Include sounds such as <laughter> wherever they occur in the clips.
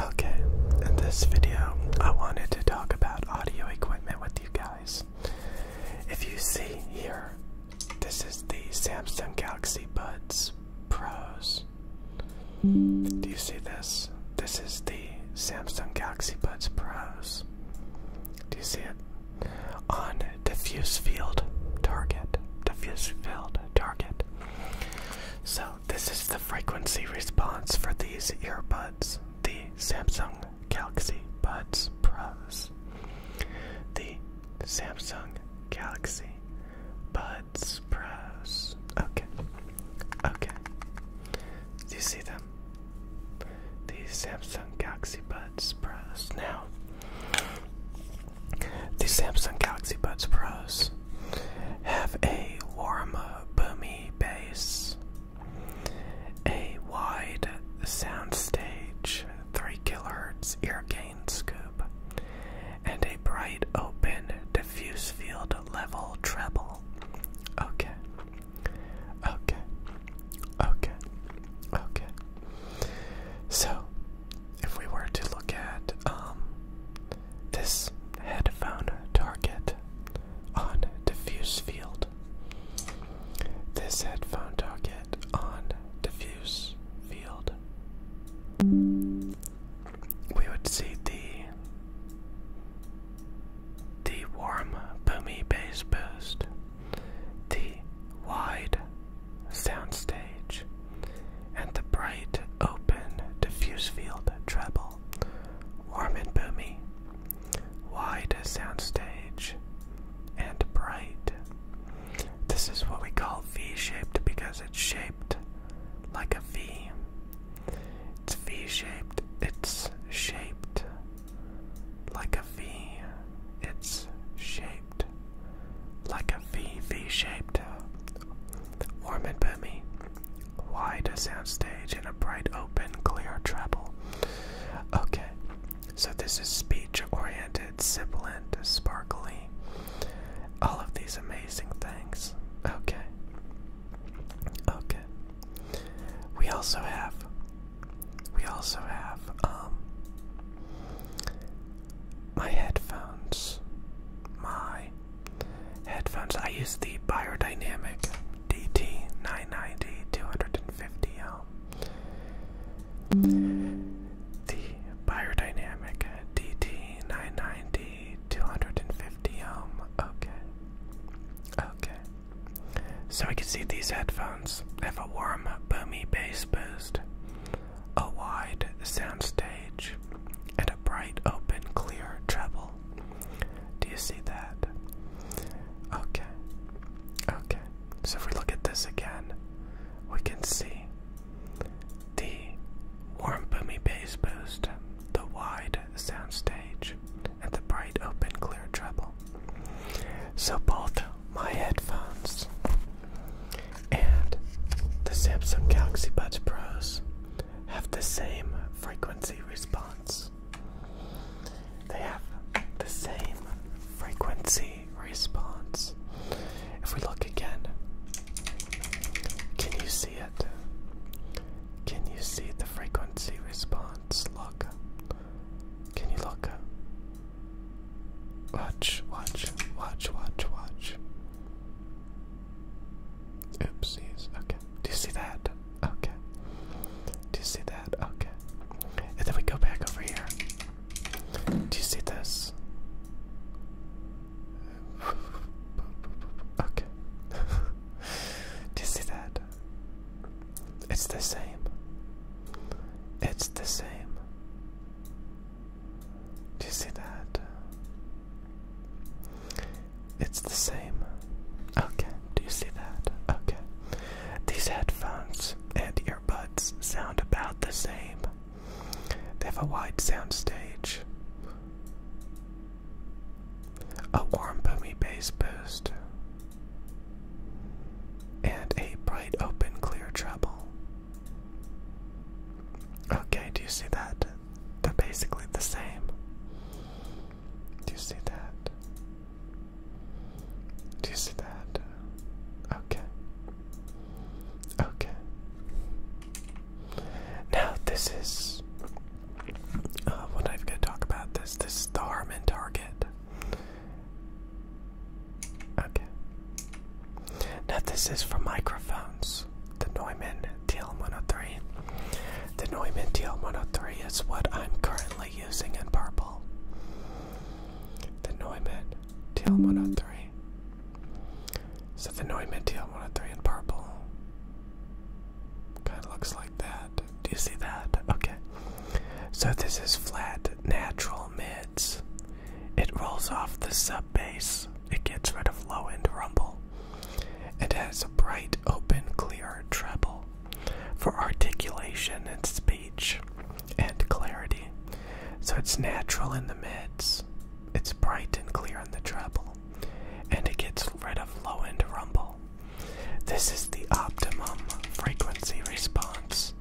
Okay, in this video, I wanted to talk about audio equipment with you guys. If you see here, this is the Samsung Galaxy Buds Pros. Do you see this? This is the Samsung Galaxy Buds Pros. Do you see it? On diffuse field target. Diffuse field target. So this is the frequency response for these earbuds the Samsung Galaxy Buds Pros. The Samsung Galaxy Buds Pros. Okay. Okay. Do you see them? The Samsung Galaxy Buds Pros. Now, the Samsung Galaxy Buds Pros have a warm, boomy bass, a wide soundstage, 3 kHz ear gain scoop, and a bright, open, diffuse field level treble. Okay. Okay. Okay. Okay. So, if we were to look at um, this headphone target on diffuse field, this headphone target on diffuse field, we would see the the warm boomy bass boost, the wide soundstage, and the bright, open, diffuse field treble, warm and boomy, wide soundstage, and bright. This is what we call V-shaped because it's shaped like a V. It's V-shaped. It's shaped like a V. It's shaped like a V V shaped, uh, warm and boomy, wide a soundstage and a bright, open, clear treble. Okay, so this is speech oriented, sibilant, sparkly, all of these amazing things. Okay, okay. We also have we also have um my headphones. My headphones. I use the Biodynamic DT990 250 ohm. The Biodynamic DT990 ohm. Okay. Okay. So we can see these headphones have a warm, boomy bass boost, a wide soundstage, and a bright, open, clear treble. Do you see that? Okay. Okay. So if we look at this again, we can see the warm, boomy bass boost, the wide soundstage, at the bright, open, clear treble. So both my headphones and the Samsung Galaxy Buds Pros have the same frequency response. They have the same frequency response. If we look again, can you see it? Can you see the frequency response? Look, can you look? Watch, watch, watch, watch, watch. Oopsies. Okay. Do you see that? Okay. Do you see that? Okay. And then we go back over here. Do you see this? <laughs> Okay. <laughs> Do you see that? It's the same. It's the same. Do you see that? It's the same. Okay, do you see that? Okay. These headphones and earbuds sound about the same. They have a wide sound stage a warm boomy base boost, and a bright open clear treble. Okay, do you see that? They're basically the same. Do you see that? Do you see that? Okay. Okay. Now, this is what I'm going to talk about this this the Harman target. Okay. Now this is for microphones. The Neumann TL103. The Neumann TL103 is what I'm currently using in purple. The Neumann TL103. So the Neumann TL103 in purple. Kind of looks like that. Do you see that? Okay. So this is flat natural mids. It rolls off the sub bass. It gets rid of low end rumble. It has a bright, open, clear treble for articulation and speech and clarity. So it's natural in the mids. It's bright and clear in the treble and it gets rid of low end rumble. This is the optimum frequency response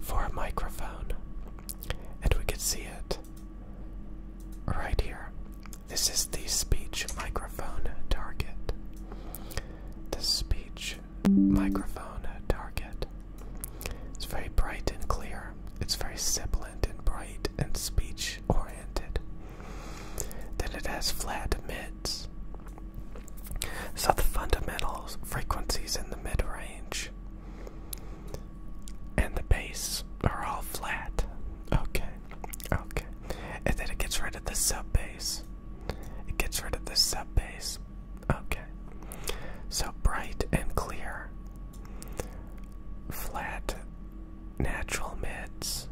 for a microphone, and we can see it right here. This is the speech microphone target. The speech microphone target. It's very bright and clear. It's very sibilant and bright and speech oriented. Then it has flat mids. So the fundamental frequencies in the mid range and the bass are all flat. Okay, okay. And then it gets rid of the sub bass. It gets rid of the sub bass. Okay. So bright and clear Flat natural mids.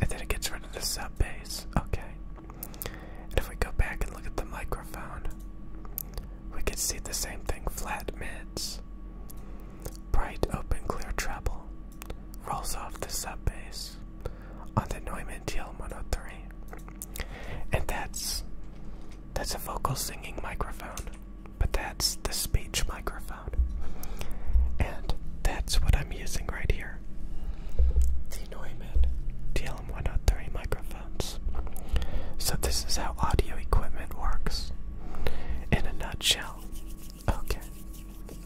And then it gets rid of the sub bass. Okay. And if we go back and look at the microphone, we can see the same thing flat mids. Bright, open, clear treble. Rolls off the sub bass on the Neumann TLM 103. And that's that's a vocal singing microphone but that's the speech microphone. And that's what I'm using right here the Neumann TLM103 microphones. So, this is how audio equipment works in a nutshell. Okay,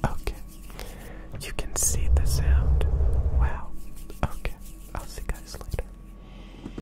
okay. You can see the sound. Wow. Okay, I'll see you guys later.